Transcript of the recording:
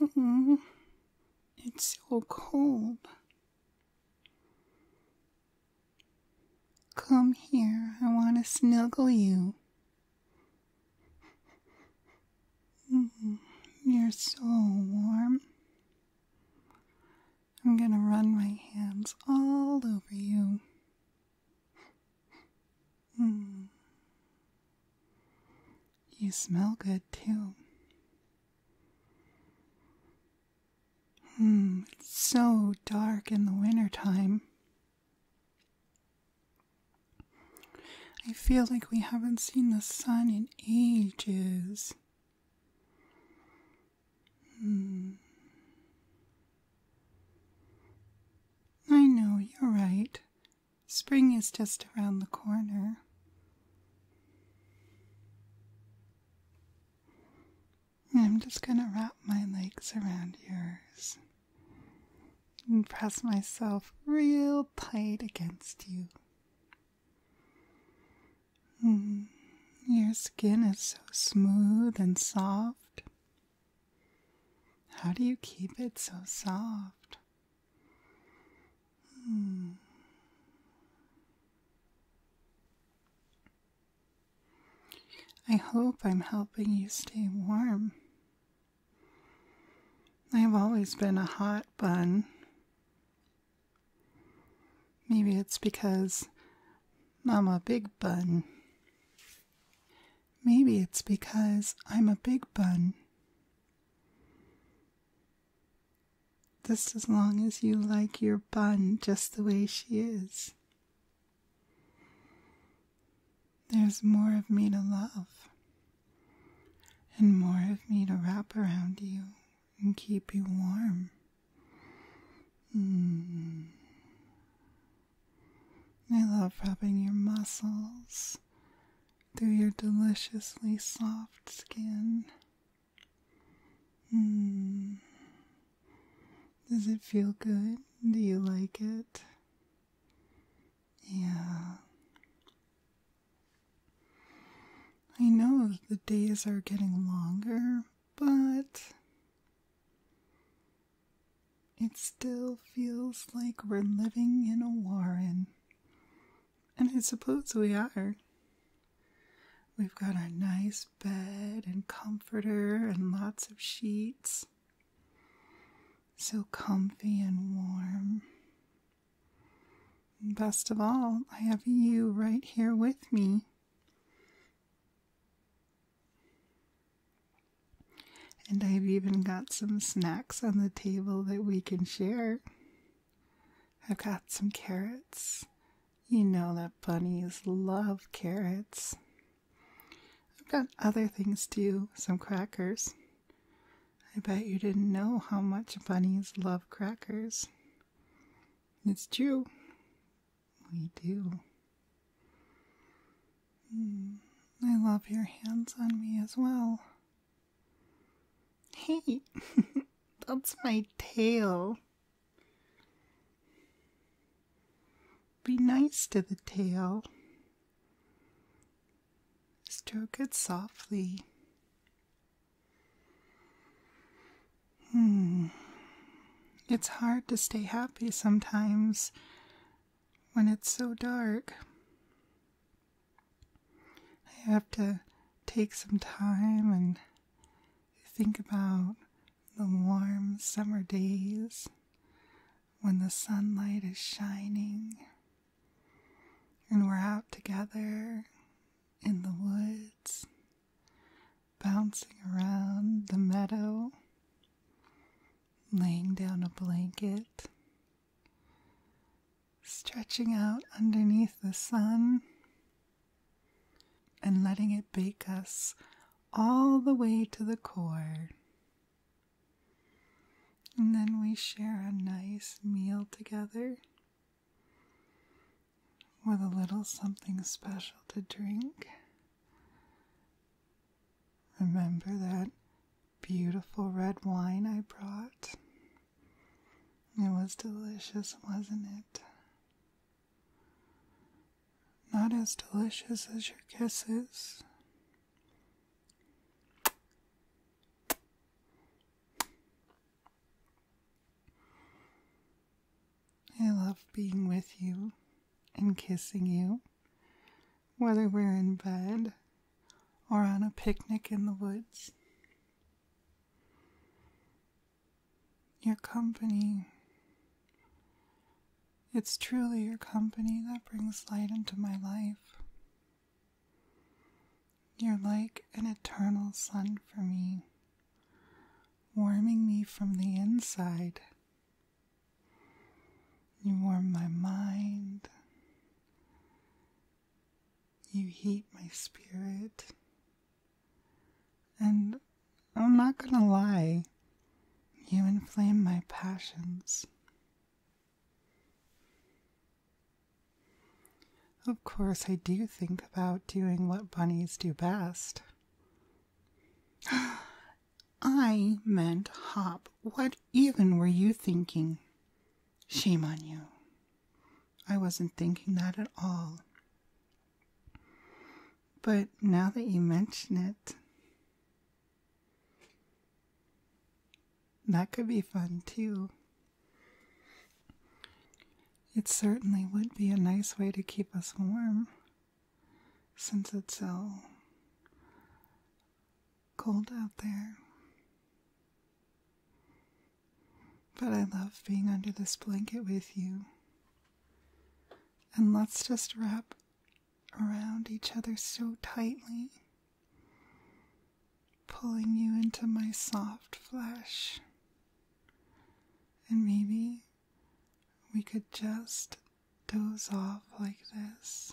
Mm-hmm. It's so cold. Come here, I want to snuggle you. Mm-hmm. you're so warm. I'm going to run my hands all over you. Hmm. You smell good too. Hmm, it's so dark in the winter time. I feel like we haven't seen the sun in ages. Hmm. I know you're right. Spring is just around the corner. I'm just going to wrap my legs around yours and press myself real tight against you. Mm, your skin is so smooth and soft. How do you keep it so soft? Hmm. I hope I'm helping you stay warm. I've always been a hot bun. Maybe it's because I'm a big bun. Maybe it's because I'm a big bun. Just as long as you like your bun just the way she is. There's more of me to love, and more of me to wrap around you and keep you warm. Mm. I love rubbing your muscles through your deliciously soft skin. Mm. Does it feel good? Do you like it? Yeah. I know the days are getting longer, but it still feels like we're living in a warren. And I suppose we are. We've got our nice bed and comforter and lots of sheets. So comfy and warm. Best of all, I have you right here with me. And I've even got some snacks on the table that we can share. I've got some carrots. You know that bunnies love carrots. I've got other things too, some crackers. I bet you didn't know how much bunnies love crackers. It's true. We do. Hmm, I love your hands on me as well. Hey, that's my tail. Be nice to the tail. Stroke it softly. Hmm. It's hard to stay happy sometimes when it's so dark. I have to take some time and think about the warm summer days when the sunlight is shining and we're out together in the woods, bouncing around the meadow, laying down a blanket, stretching out underneath the sun, and letting it bake us all the way to the core. And then we share a nice meal together with a little something special to drink. Remember that beautiful red wine I brought? It was delicious, wasn't it? Not as delicious as your kisses. I love being with you and kissing you, whether we're in bed or on a picnic in the woods. Your company. It's truly your company that brings light into my life. You're like an eternal sun for me, warming me from the inside. You warm my mind. You heat my spirit. And I'm not gonna lie, you inflame my passions. Of course, I do think about doing what bunnies do best. I meant hop. What even were you thinking? Shame on you. I wasn't thinking that at all. But now that you mention it, that could be fun too. It certainly would be a nice way to keep us warm since it's so cold out there. But I love being under this blanket with you. And let's just wrap around each other so tightly, pulling you into my soft flesh. And maybe we could just doze off like this.